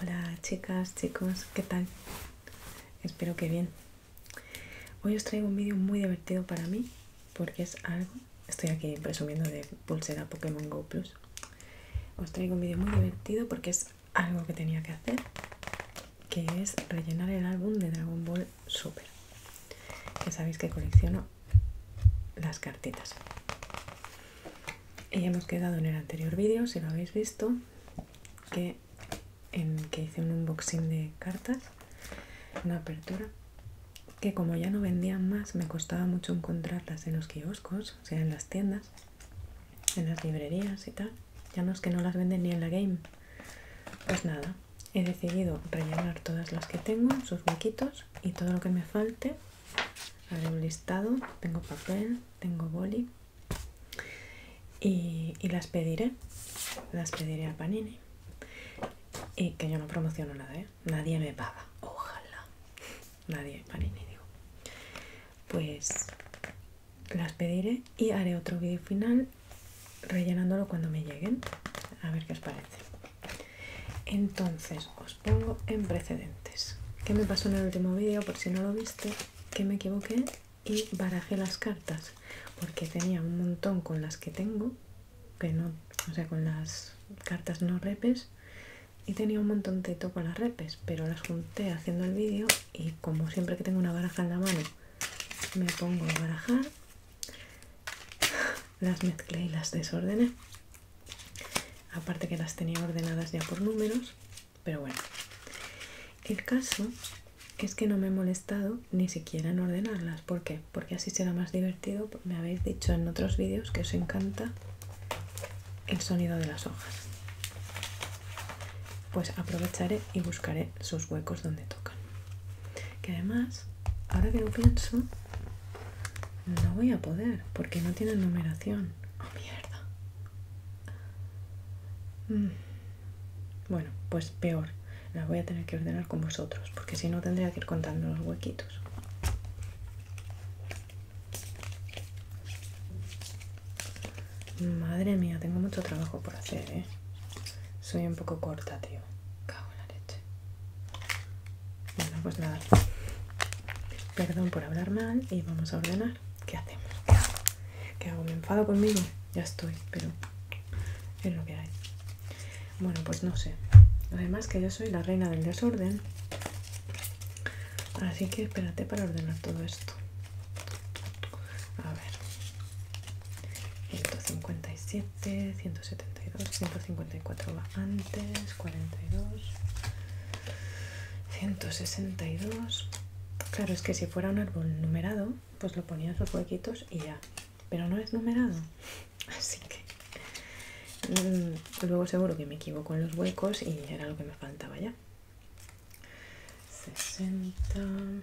Hola chicas, chicos, ¿qué tal? Espero que bien. Hoy os traigo un vídeo muy divertido para mí porque es algo, estoy aquí presumiendo de pulsera Pokémon Go Plus. Os traigo un vídeo muy divertido porque es algo que tenía que hacer, que es rellenar el álbum de Dragon Ball Super. Ya sabéis que colecciono las cartitas. Y hemos quedado en el anterior vídeo, si lo habéis visto, que, en, que hice un unboxing de cartas, una apertura, que como ya no vendían más, me costaba mucho encontrarlas en los kioscos, o sea, en las tiendas, en las librerías y tal. Ya no es que no las venden ni en la game. Pues nada, he decidido rellenar todas las que tengo, sus huequitos y todo lo que me falte. Haré un listado, tengo papel, tengo boli y, y las pediré, las pediré a Panini. Y que yo no promociono nada, ¿eh? nadie me paga, ojalá, nadie, Panini digo. Pues las pediré y haré otro vídeo final rellenándolo cuando me lleguen. A ver qué os parece. Entonces, os pongo en precedentes. ¿Qué me pasó en el último vídeo? Por si no lo viste, que me equivoqué y barajé las cartas. Porque tenía un montón con las que tengo, que no, o sea, con las cartas no repes. Y tenía un montón montoncito con las repes, pero las junté haciendo el vídeo y como siempre que tengo una baraja en la mano, me pongo a barajar las mezclé y las desordené aparte que las tenía ordenadas ya por números pero bueno el caso es que no me he molestado ni siquiera en ordenarlas ¿por porque así será más divertido me habéis dicho en otros vídeos que os encanta el sonido de las hojas pues aprovecharé y buscaré sus huecos donde tocan que además, ahora que lo pienso, no voy a poder porque no tiene numeración. ¡Oh, mierda! Mm. Bueno, pues peor. La voy a tener que ordenar con vosotros porque si no tendría que ir contando los huequitos. Madre mía, tengo mucho trabajo por hacer, ¿eh? Soy un poco corta, tío. Cago la leche. Bueno, pues nada. Perdón por hablar mal y vamos a ordenar. ¿Qué hacemos? ¿Qué hago? ¿Me enfado conmigo? Ya estoy, pero es lo que hay. Bueno, pues no sé. Además que yo soy la reina del desorden. Así que espérate para ordenar todo esto. A ver. 157. 172, 154 va antes, 42, 162. Claro, es que si fuera un árbol numerado, pues lo ponías los sus huequitos y ya. Pero no es numerado, así que mm, luego seguro que me equivoco en los huecos y era lo que me faltaba ya. 60,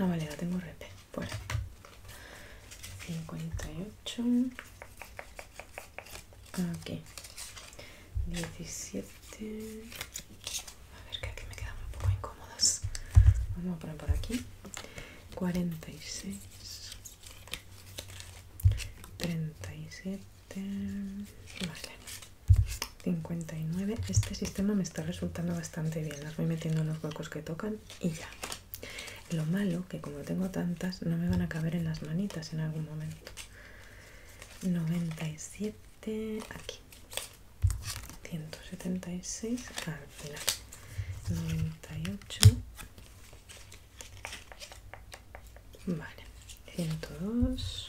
Ah, vale, ya tengo rep. bueno 58. Aquí. 17. A ver, que aquí me quedan un poco incómodos Vamos a poner por aquí. 46. 37. Vale. 59 este sistema me está resultando bastante bien las voy metiendo en los huecos que tocan y ya lo malo que como tengo tantas no me van a caber en las manitas en algún momento 97 aquí 176 al final 98 vale 102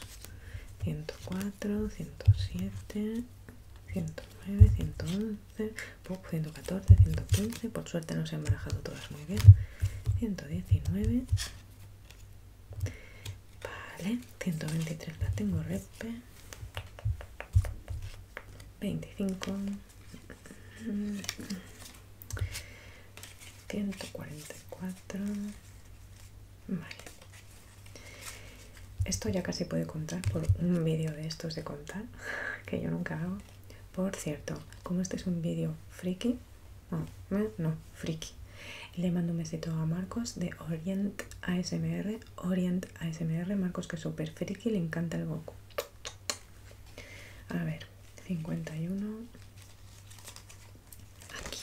104 107 109, 111, 114, 115. Por suerte no se han barajado todas muy bien. 119. Vale, 123 la tengo repe. 25. 144. Vale. Esto ya casi puede contar por un vídeo de estos de contar, que yo nunca hago. Por cierto, como este es un vídeo friki, no, eh, no, friki, le mando un besito a Marcos de Orient ASMR, Orient ASMR, Marcos que es súper friki, le encanta el Goku. A ver, 51. Aquí.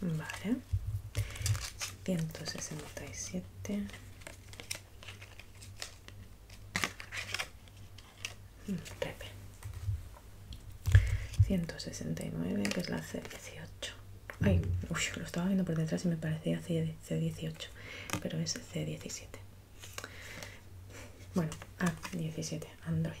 Vale. 167. 169, mm, que es la C18. Ay, lo estaba viendo por detrás y me parecía C18, pero es C17. Bueno, A17, Android.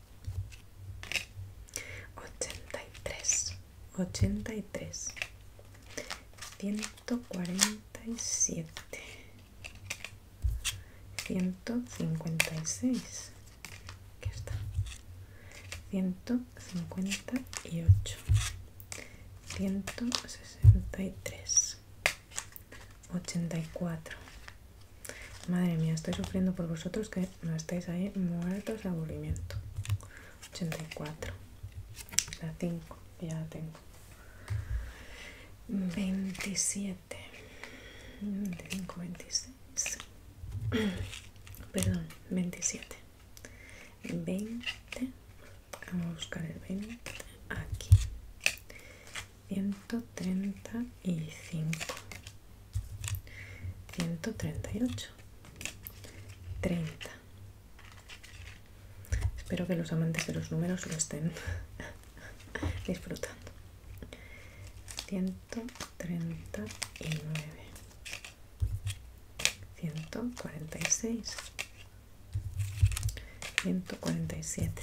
ochenta y tres ochenta y tres ciento cuarenta y siete ciento cincuenta y seis ciento cincuenta y ocho ciento sesenta y tres ochenta y cuatro Madre mía, estoy sufriendo por vosotros que no estáis ahí muertos de aburrimiento. 84. La 5, ya la tengo. 27. 25, 26. Perdón, 27. 20. Vamos a buscar el 20 aquí. Ciento Ciento treinta treinta y cinco y ocho Treinta espero que los amantes de los números lo estén disfrutando Ciento Ciento treinta y y nueve cuarenta seis ciento 146 147 siete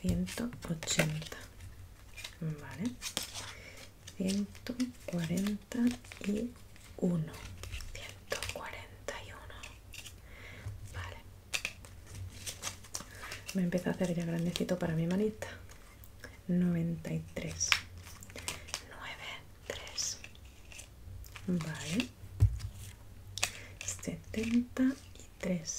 ciento ochenta vale ciento ciento cuarenta cuarenta y uno y uno vale me empieza a hacer ya grandecito para mi manita noventa y tres nueve tres vale setenta y tres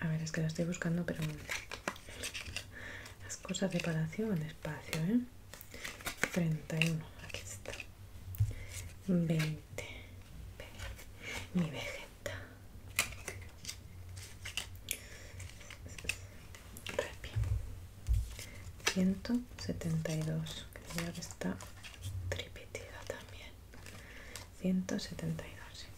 A ver, es que lo estoy buscando, pero las cosas de palacio van despacio, ¿eh? 31, aquí está. 20. Mi vegeta. 172. Creo que está tripetida también. 172, sí.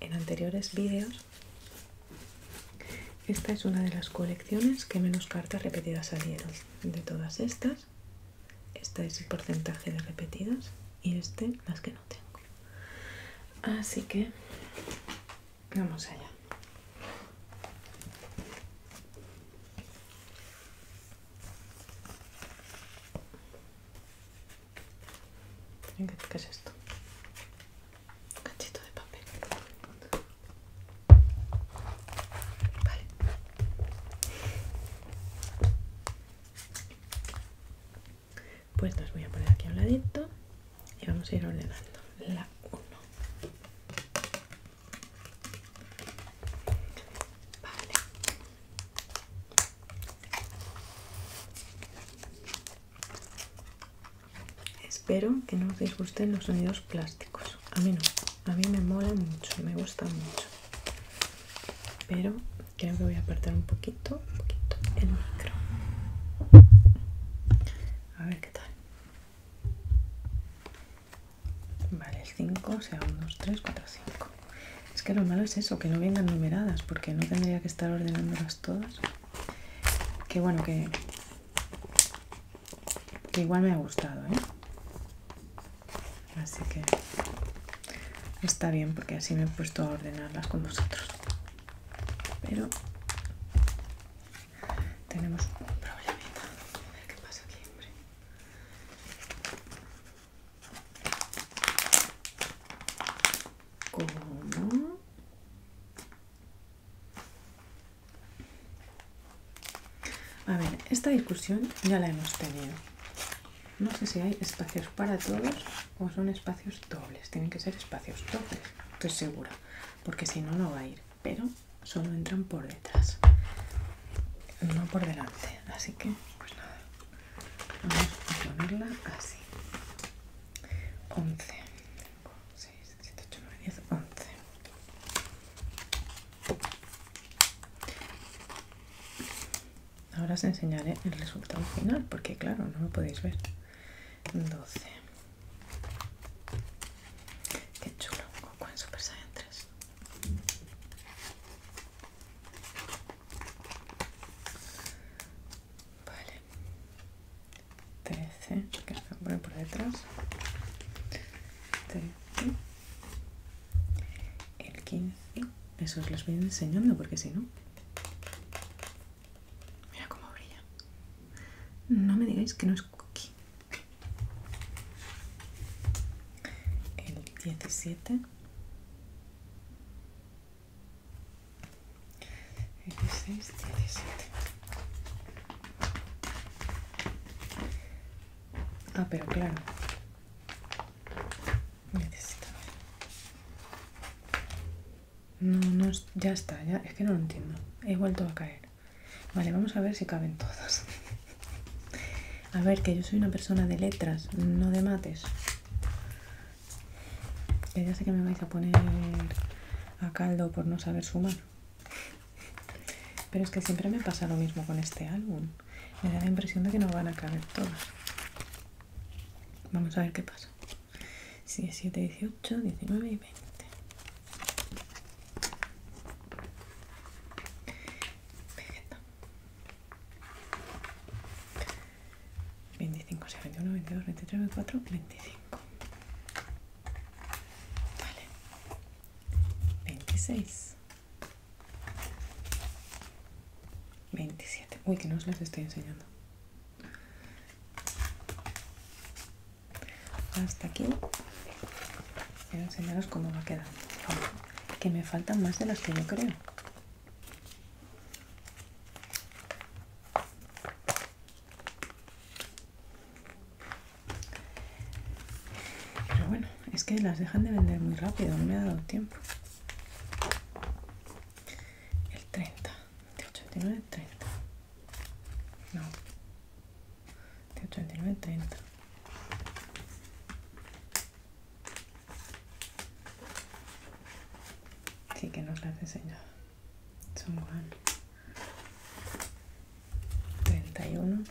en anteriores vídeos, esta es una de las colecciones que menos cartas repetidas salieron. De todas estas, este es el porcentaje de repetidas y este las que no tengo. Así que vamos allá. ¿Qué es esto? Un cachito de papel. Vale. Pues las voy a poner aquí a un ladito y vamos a ir ordenando. La 1. Vale. Espero que no os disgusten los sonidos plásticos. A mí no, a mí me mola mucho, me gusta mucho. Pero creo que voy a apartar un poquito, un poquito el micro. A ver qué tal. Vale, el 5 sea 1, 2, 3, 4, 5. Es que lo malo es eso, que no vengan numeradas, porque no tendría que estar ordenándolas todas. Que bueno, que, igual me ha gustado, ¿eh? Así que está bien porque así me he puesto a ordenarlas con vosotros. Pero tenemos un problemita. A ver qué pasa aquí, hombre. A ver, esta discusión ya la hemos tenido. No sé si hay espacios para todos o son espacios dobles. Tienen que ser espacios dobles, estoy segura. Porque si no, no va a ir. Pero solo entran por detrás. No por delante. Así que, pues nada. Vamos a ponerla así. 11 5, 6, 7, 8, 9, 10, 11 Ahora os enseñaré el resultado final porque claro, no lo podéis ver. 12. Qué chulo, Con en Super Saiyan 3. Vale. 13, que se por detrás. 13. El 15. Eso os los voy enseñando porque si no... Mira cómo brilla. No me digáis que no es cookie. El 17. 16, 17. Ah, pero claro. Necesito No, no, ya está, ya. Es que no lo entiendo. He vuelto a caer. Vale, vamos a ver si caben todos. a ver, que yo soy una persona de letras, no de mates. Ya, ya sé que me vais a poner a caldo por no saber sumar. Pero es que siempre me pasa lo mismo con este álbum. Me da la impresión de que no van a caber todas. Vamos a ver qué pasa. 7, 18, 19 y 20. 25, 21, 22, 23, 24, 25. Vale. 26. 27. Uy, que no os las estoy enseñando. Hasta aquí. Quiero enseñaros cómo va quedando. que me faltan más de las que yo creo. Pero bueno, es que las dejan de vender muy rápido, no me ha dado tiempo. El 30, de 89 30. No. De 89 30 sí que nos las enseñaba Son 31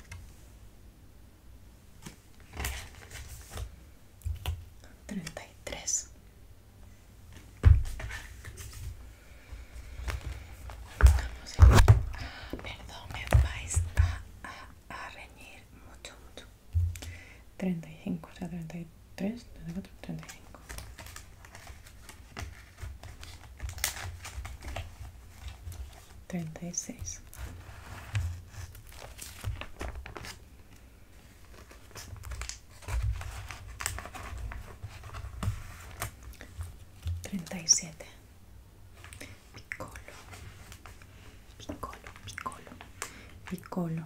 33 Vamos a ir. perdón, me vais a, reñir mucho, mucho. 35, o sea, 35 treinta y 35. Treinta y seis. Treinta y siete. Piccolo. Piccolo, piccolo. Piccolo.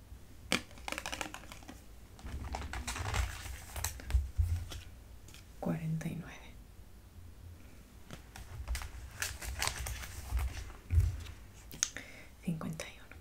49 51 52 52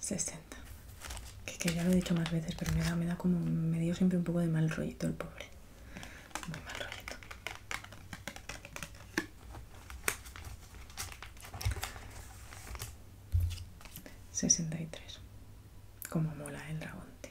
60. Que, ya lo he dicho más veces, pero me da, como. Me dio siempre un poco de mal rollito el pobre. Muy mal rollito. 63 Como mola el dragón, tío.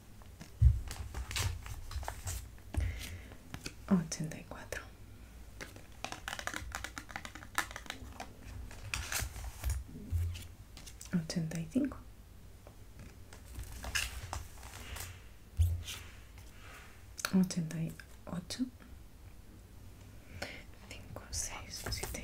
84 85 88 5 6 7 8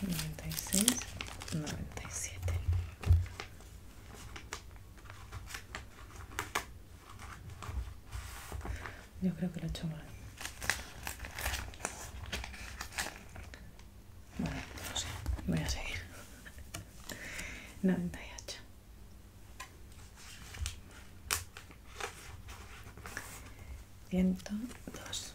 96 97 yo creo que lo he hecho mal bueno no sé voy a seguir 98 102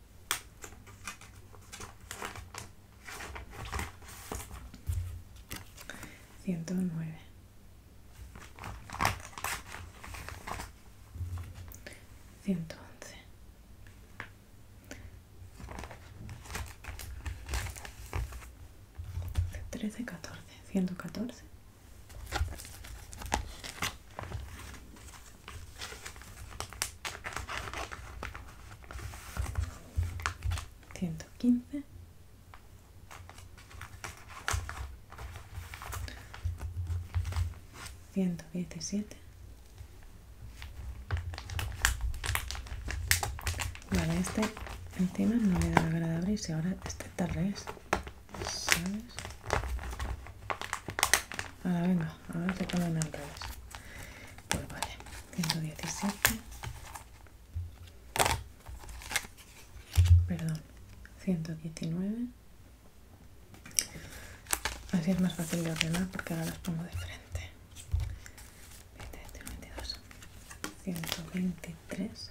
109. 111. 13. 14. 114 ciento quince ciento vale este encima no le da grada ahora este tal Ahora venga, a ver te ponen al revés. Pues vale, 117. Perdón, 119. Así es más fácil de ordenar porque ahora las pongo de frente. 22, 123.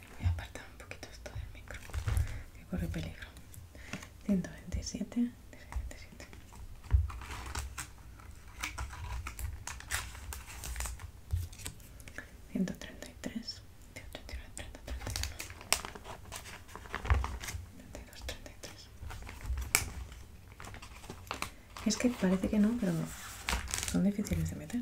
voy a apartar un poquito esto del micro que corre peligro 127 127 133 18, 30 31 32 33 es que parece que no pero son difíciles de meter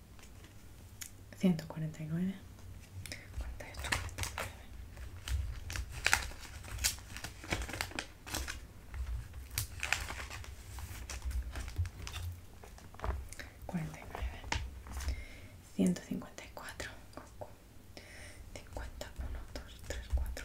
149 y nueve. Cuarenta y nueve, ciento cincuenta y cuatro, cincuenta uno, dos, tres, cuatro,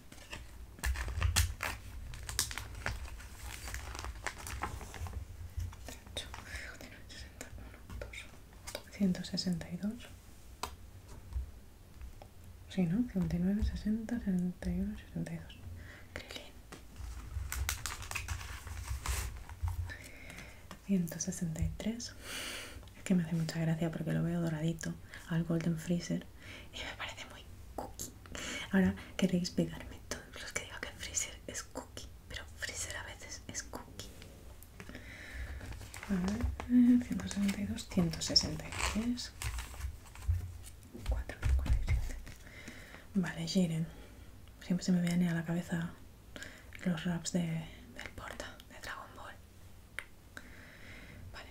162 Sí, ¿no? 59, 60, 61, 62 163 Es que me hace mucha gracia porque lo veo doradito al Golden Freezer y me parece muy cookie Ahora queréis pegarme todos los que digo que freezer es cookie, pero freezer a veces es cookie. A 162, 163, 4, 47. Vale, Jiren. Siempre se me vienen a la cabeza los raps del porta, de Dragon Ball. Vale,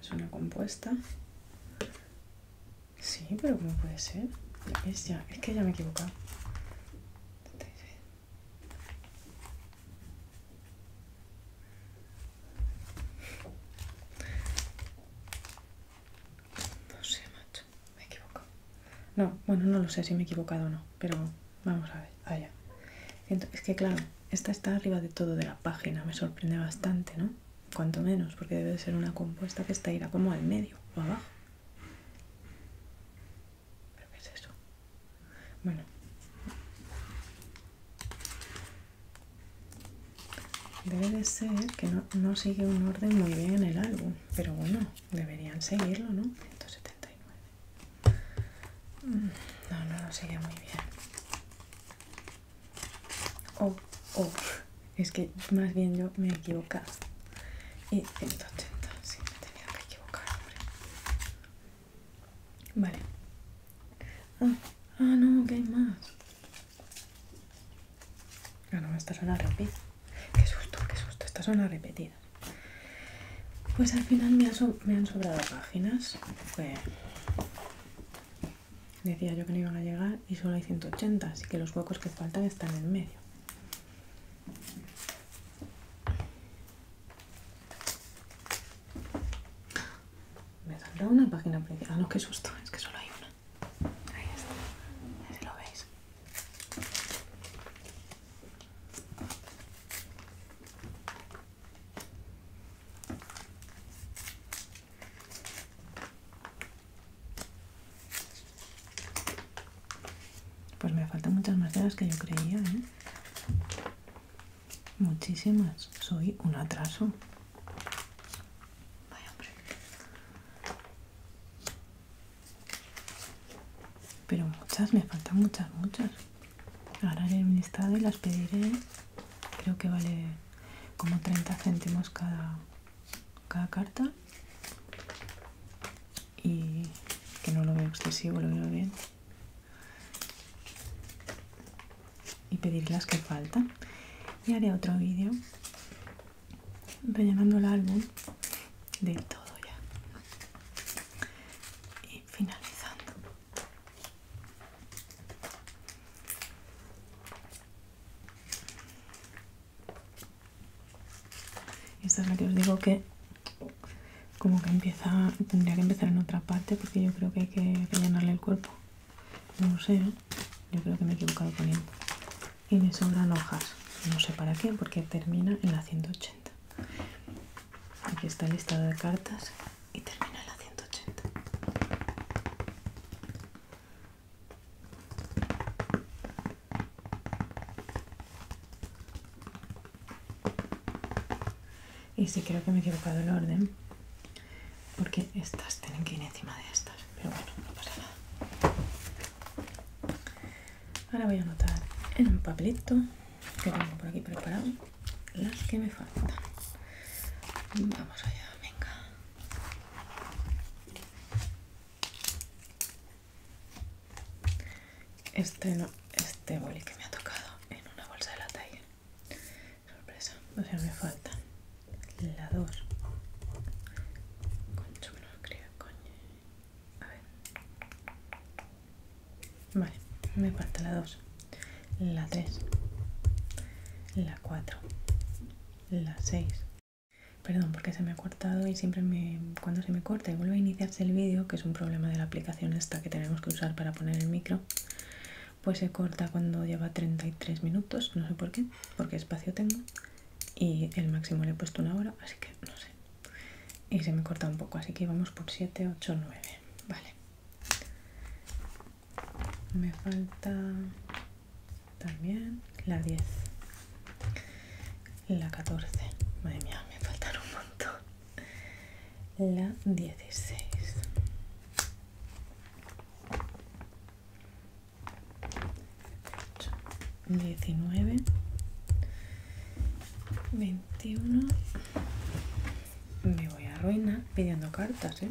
es una compuesta. Sí, pero ¿cómo puede ser? Es, ya, es que ya me he equivocado. No sé, macho, me he equivocado. No, bueno, no lo sé si me he equivocado o no, pero vamos a ver, allá. Es que claro, esta está arriba de todo de la página, me sorprende bastante, ¿no? Cuanto menos, porque debe de ser una compuesta que está irá como al medio o abajo. ¿Pero qué es eso? Bueno. Debe de ser que no, no sigue un orden muy bien en el álbum, pero bueno, deberían seguirlo, ¿no? 179. Mm, no, no lo sigue muy bien oh, oh, es que más bien yo me he equivocado. Y 180, sí, me tenía que equivocar, hombre. Vale. Ah, ah no, que hay más. Ah, no, esta zona repetida. Qué susto, qué susto, esta zona repetida. Pues al final me, me han sobrado páginas. Pues Decía yo que no iban a llegar y solo hay 180, así que los huecos que faltan están en medio. Me saldrá una página principal. Ah, no, qué susto, es que solo hay una. Ahí está, si lo veis. Pues me faltan muchas más de las que yo creía, ¿eh? Muchísimas. Soy un atraso. Pero muchas, me faltan muchas, muchas. Ahora haré un listado y las pediré. Creo que vale como 30 céntimos cada, cada carta y que no lo veo excesivo, lo veo bien y pedir las que faltan y haré otro vídeo rellenando el álbum de todo ya y finalizando esta es la que os digo que como que empieza, tendría que empezar en otra parte porque yo creo que hay que rellenarle el cuerpo. No sé, ¿eh? yo creo que me he equivocado poniendo. Y me sobran hojas, no sé para qué, porque termina en la 180. Aquí está el listado de cartas y termina en la 180. Y sí, creo que me he equivocado el orden, porque estas tienen que ir encima de estas, pero bueno, no pasa nada. Ahora voy a anotar en un papelito que tengo por aquí preparado las que me faltan. Vamos allá, venga. Este no, este boli que me ha tocado en una bolsa de la talla. Sorpresa, o sea, me falta la 2. Concho, me lo coño. A ver. Vale, me falta la 2 la 3, la 4, la 6. Perdón, porque se me ha cortado y siempre me, cuando se me corta y vuelve a iniciarse el vídeo, que es un problema de la aplicación esta que tenemos que usar para poner el micro, pues se corta cuando lleva 33 minutos, no sé por qué, porque espacio tengo y el máximo le he puesto una hora, así que no sé. Y se me corta un poco, así que vamos por 7, 8, 9. Vale me falta también la 10 la 14 madre mía me faltan un montón la 16 19 21 me voy a arruinar pidiendo cartas ¿eh?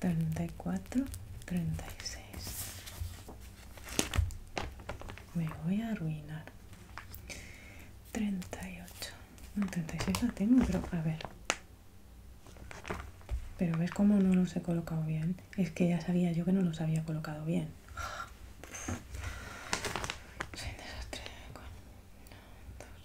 34 36 me voy a arruinar 38 36 la tengo pero a ver pero ves como no los he colocado bien es que ya sabía yo que no los había colocado bien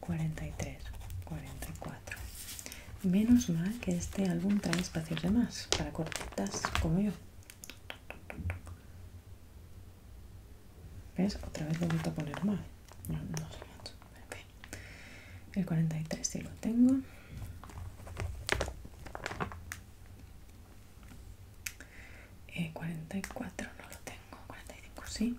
43, 44. Menos mal que este álbum trae espacios de más para cortitas como yo. ¿Ves? Otra vez lo he a poner mal. No, sé El 43 sí lo tengo. 44 eh, no lo tengo. 45 sí.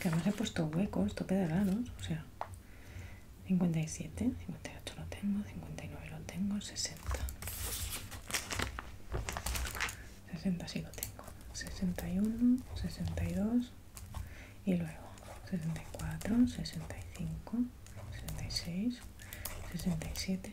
Que además he puesto huecos, tope de o sea, 57, 58 lo tengo, 59 lo tengo, 60. 60 sí lo tengo, 61, 62 y luego 64, 65, 66, 67,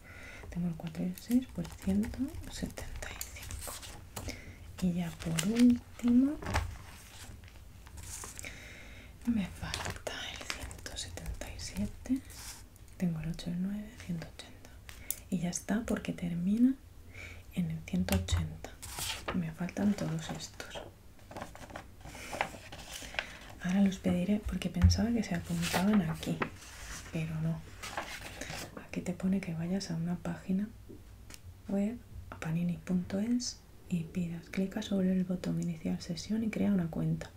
tengo el 4 y el 6 por 175 y ya por último me falta el 177 tengo el 8 y el 9 180 y ya está porque termina en el 180 me faltan todos estos ahora los pediré porque pensaba que se apuntaban aquí pero no. Aquí te pone que vayas a una página web, a panini.es, y pidas. Clica sobre el botón iniciar sesión y crea una cuenta.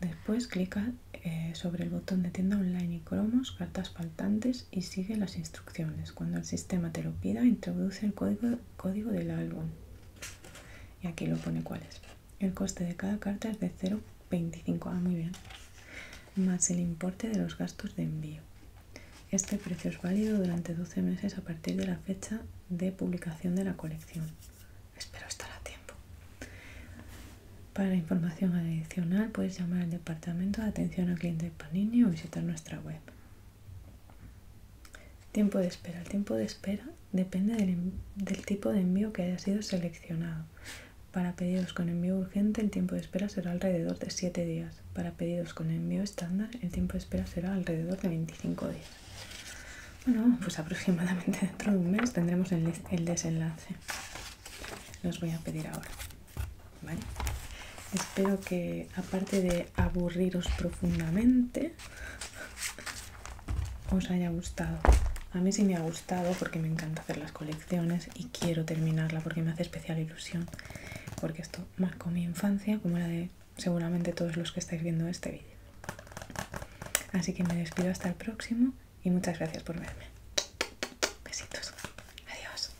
Después clica eh, sobre el botón de tienda online y cromos, cartas faltantes y sigue las instrucciones. Cuando el sistema te lo pida, introduce el código, código del álbum. Y aquí lo pone cuál es. El coste de cada carta es de 0,25. Ah, muy bien. Más el importe de los gastos de envío. Este precio es válido durante 12 meses a partir de la fecha de publicación de la colección. Espero estar a tiempo. Para información adicional puedes llamar al departamento de atención al cliente de Panini o visitar nuestra web. Tiempo de espera. tiempo de espera depende del, tipo de envío que haya sido seleccionado. Para pedidos con envío urgente el tiempo de espera será alrededor de 7 días. Para pedidos con envío estándar el tiempo de espera será alrededor de 25 días. Bueno, pues aproximadamente dentro de un mes tendremos el, desenlace. Los voy a pedir ahora. Espero que aparte de aburriros profundamente, os haya gustado. A mí sí me ha gustado porque me encanta hacer las colecciones y quiero terminarla porque me hace especial ilusión. Porque esto marcó mi infancia como la de seguramente todos los que estáis viendo este vídeo. Así que me despido hasta el próximo y muchas gracias por verme. Besitos. Adiós.